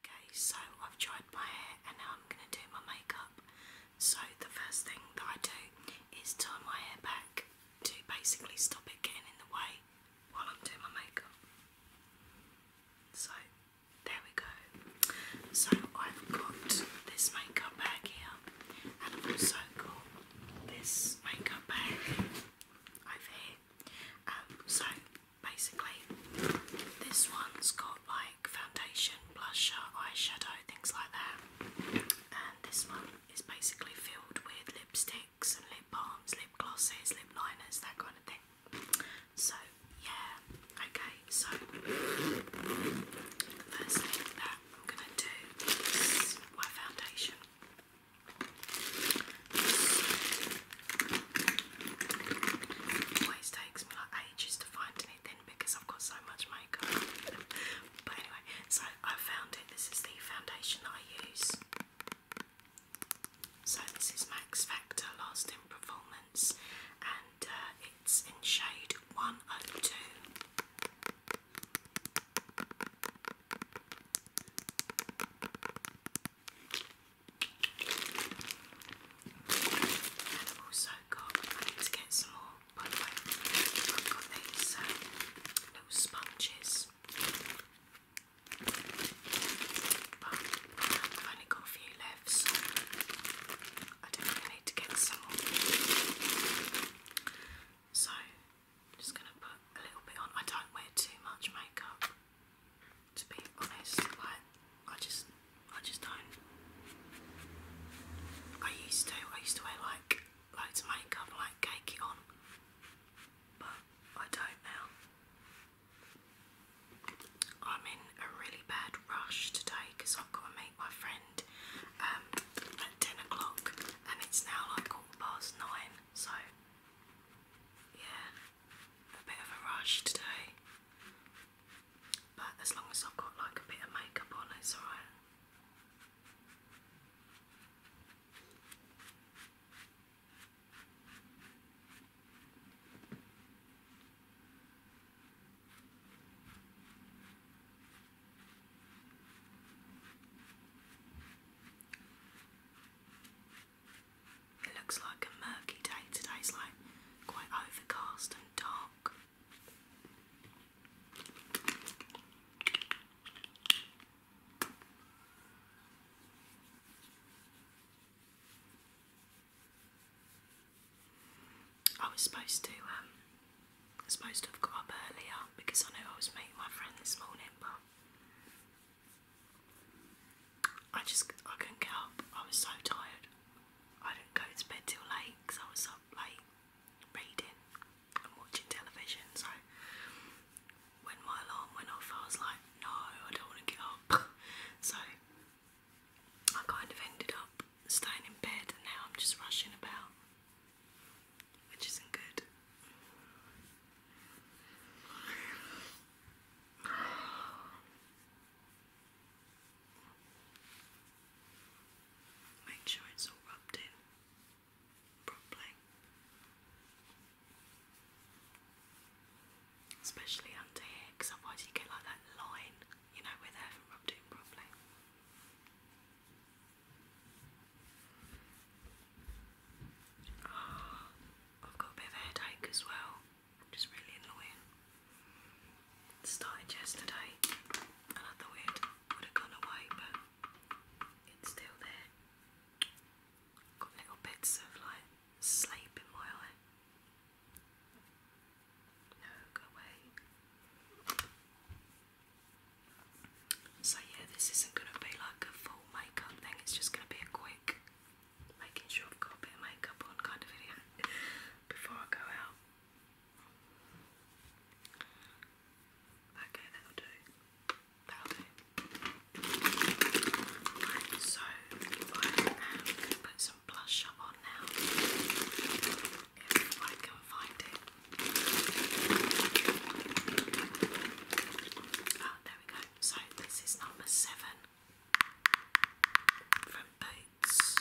Okay, so I've dried my hair and now I'm going to do my makeup. So the first thing that I do is turn my hair back to basically stop it getting in the way while I'm doing my makeup. So there we go. So I've got this makeup bag here and also got this makeup bag over here. Um, so basically, this one's got like foundation, blusher, eyeshadow, things like that. And this one is basically filled with lipsticks and lip balms, lip glosses, lip liners, that kind of thing. So, yeah, okay, so the first thing that I'm gonna do is my foundation always takes me like ages to find anything because I've got so much makeup. but anyway, so I found it. This is the foundation I use. So this is Max Factor Lasting Performance, and uh, it's in shade 102. I've also got, I need to get some more, by the way, I've got these uh, little sponges. But I've only got a few left, so I definitely need to get some more. So, just gonna put a little bit on. I don't wear too much makeup, to be honest. Like I just, I just don't. I used to. I used to wear like loads of makeup, like cake on, but I don't now. I'm in a really bad rush today because I've got to meet my friend um, at 10 o'clock and it's now like past nine, so yeah, a bit of a rush today. But as long as I've got like a bit of makeup on, it's alright. It looks like a murky day. Today's like quite overcast and dark. I was supposed to um, I supposed to have got up earlier because I know I was meeting my friend this morning, but I just I couldn't get up. I was so tired. I didn't go to bed till late because I was up late reading and watching television. So when my alarm went off, I was like, no, I don't want to get up. so I kind of ended up staying in bed, and now I'm just rushing about which isn't good. Make sure it's all rubbed in properly, especially under here, because otherwise you get like that line, you know, where they haven't rubbed in properly. Oh, I've got a bit of a headache as well, which is really annoying. started yesterday I thought it would have gone away, but it's still there. Got little bits of like sleep in my eye. No, go away. So yeah, this isn't going to be like a full makeup thing, it's just going to be a quick making sure I've got a bit of makeup on kind of video before I go out. Okay, that'll do. That'll do. so I am going to put some blush on now if I can find it. Oh, there we go. So, this is number seven from Boots.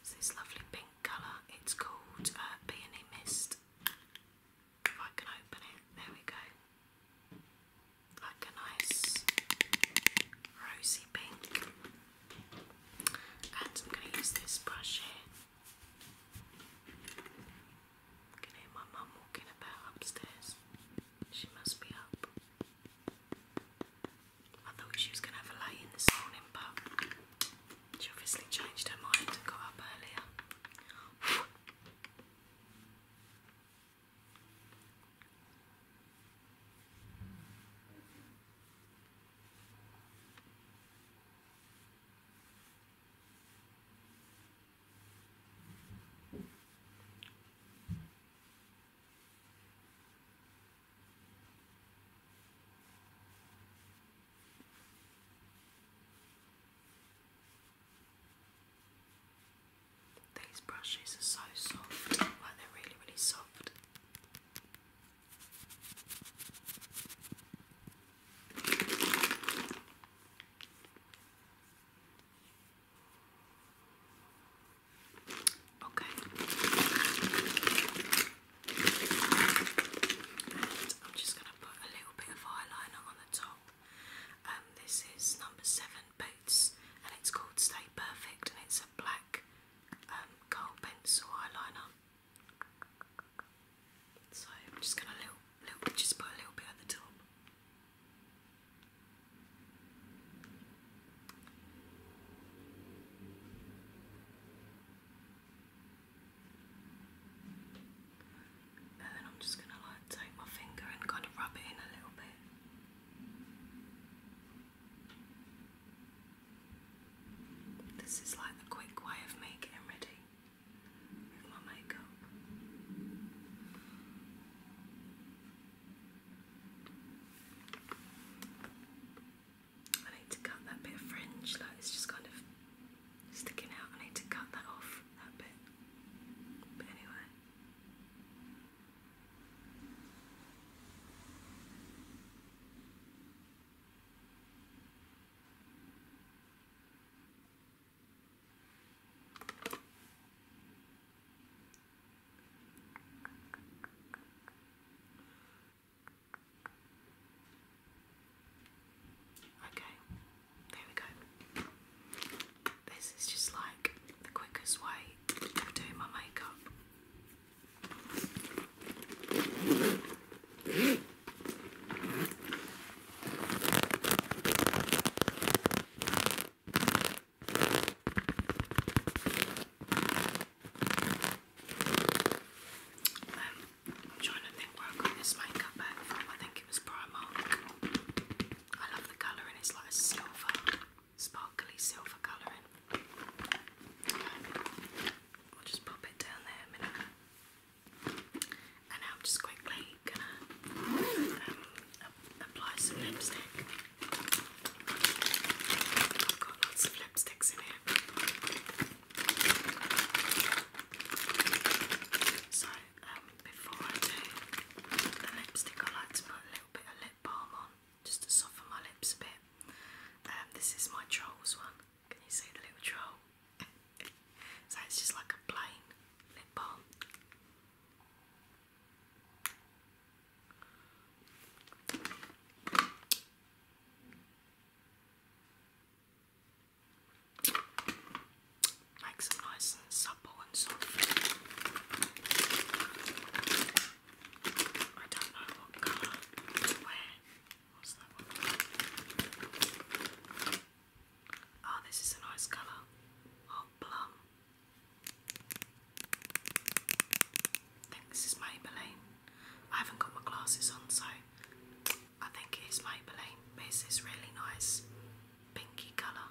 It's this lovely pink colour. It's called uh, Peony Mist. If I can open it, there we go. Like a nice rosy pink. And I'm going to use this brush here can hear my mum walking about upstairs. She must be up. I thought she was going to have a lay in this morning, but she obviously changed her mind and got up earlier. These brushes are so soft, like they're really, really soft. Okay. And I'm just going to put a little bit of eyeliner on the top. Um, this is number seven Boots, and it's called Stay Perfect, and it's a black um, gold pencil eyeliner. So I'm just gonna little, little, just put a little bit at the top. And then I'm just gonna like take my finger and kind of rub it in a little bit. This is like the quick way of making getting ready with my makeup. I need to cut that bit of fringe, like it's just kind of sticking out. I need to cut that off, that bit. But anyway. Okay, there we go. This is just like the quickest way of doing my makeup. I'm trying to think where I got this makeup bag from. I think it was Primark. I love the colour and it's like a silver, sparkly silver colouring. I'll just pop it down there a minute. And I'm just quickly gonna um, apply some lipstick. I've got lots of lipsticks in here. So um, before I do the lipstick, I like to put a little bit of lip balm on just to soften my lips a bit. Um, this is my Trolls one. Can you see the little troll? so it's just like a plain lip balm. Makes them nice and supple and soft. I don't know what colour to wear. Oh, this is a nice colour. Oh, plum. I think this is Maybelline. I haven't got my glasses on, so I think it is Maybelline. But it's really nice pinky colour.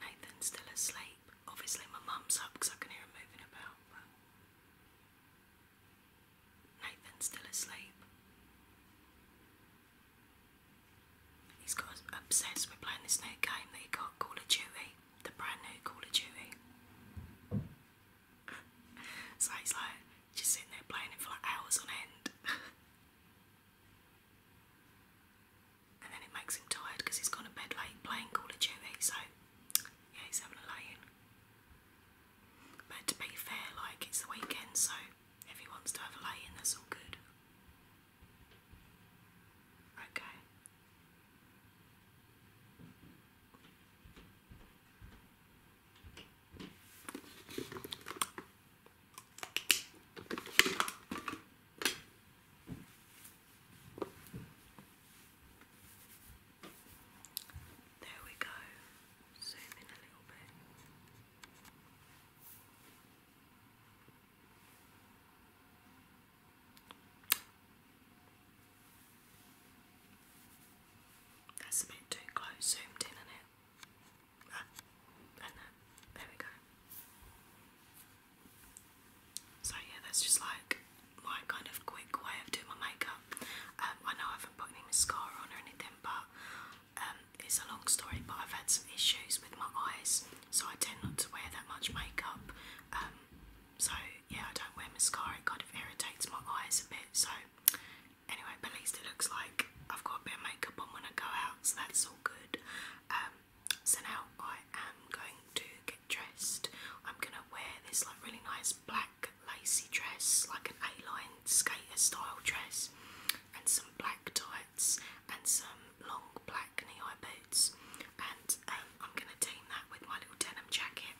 Nathan's still asleep. Obviously, my mum's up because I can hear him moving about. Nathan's still asleep. He's got obsessed with playing this new game that he got, Call of Duty, the brand new Call of Duty. so he's like just sitting there playing it for like hours on end. and then it makes him tired because he's gone to bed late playing Call of Duty, so yeah, he's having a lay in. But to be fair, like it's the weekend, so if he wants to have a lay in, that's all good. Okay. There we go. Zoom in a little bit. That's a bit too close, zoomed in on it. Ah, and that. Uh, there we go. So yeah, that's just like my kind of quick way of doing my makeup. Um, I know I haven't put any mascara on or anything, but um, it's a long story. But I've had some issues with my eyes, so I tend not to wear that much makeup. Um, so yeah, I don't wear mascara. It kind of irritates my eyes a bit. So anyway, at least it looks like I've got a bit of makeup on when I go out, so that's all good. So now I am going to get dressed. I'm gonna wear this like really nice black lacy dress, like an A-line skater style dress, and some black tights and some long black knee-high boots. And um, I'm gonna team that with my little denim jacket.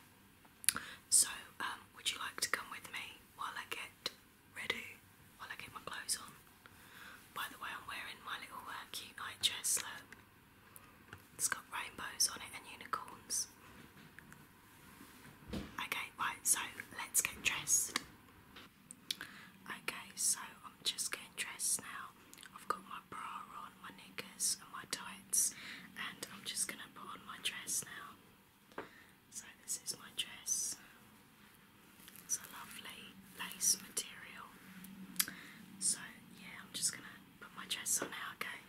So um, would you like to come with me while I get ready? While I get my clothes on. By the way, I'm wearing my little uh, cute night dress. It's got rainbows on it and unicorns. Okay, right, so let's get dressed. Okay, so I'm just getting dressed now. I've got my bra on, my knickers, and my tights, and I'm just gonna put on my dress now. So, this is my dress. It's a lovely lace material. So, yeah, I'm just gonna put my dress on now, okay?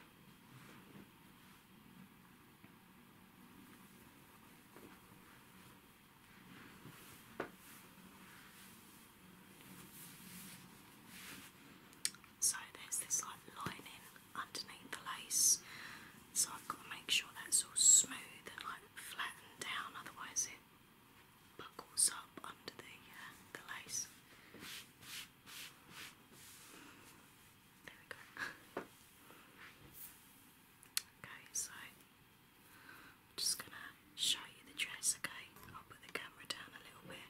So there's this like lining underneath the lace, so I've got to make sure that's all smooth and like flattened down, otherwise, buckles up under the uh, the lace. There we go. okay, so I'm just gonna show you the dress. Okay, I'll put the camera down a little bit.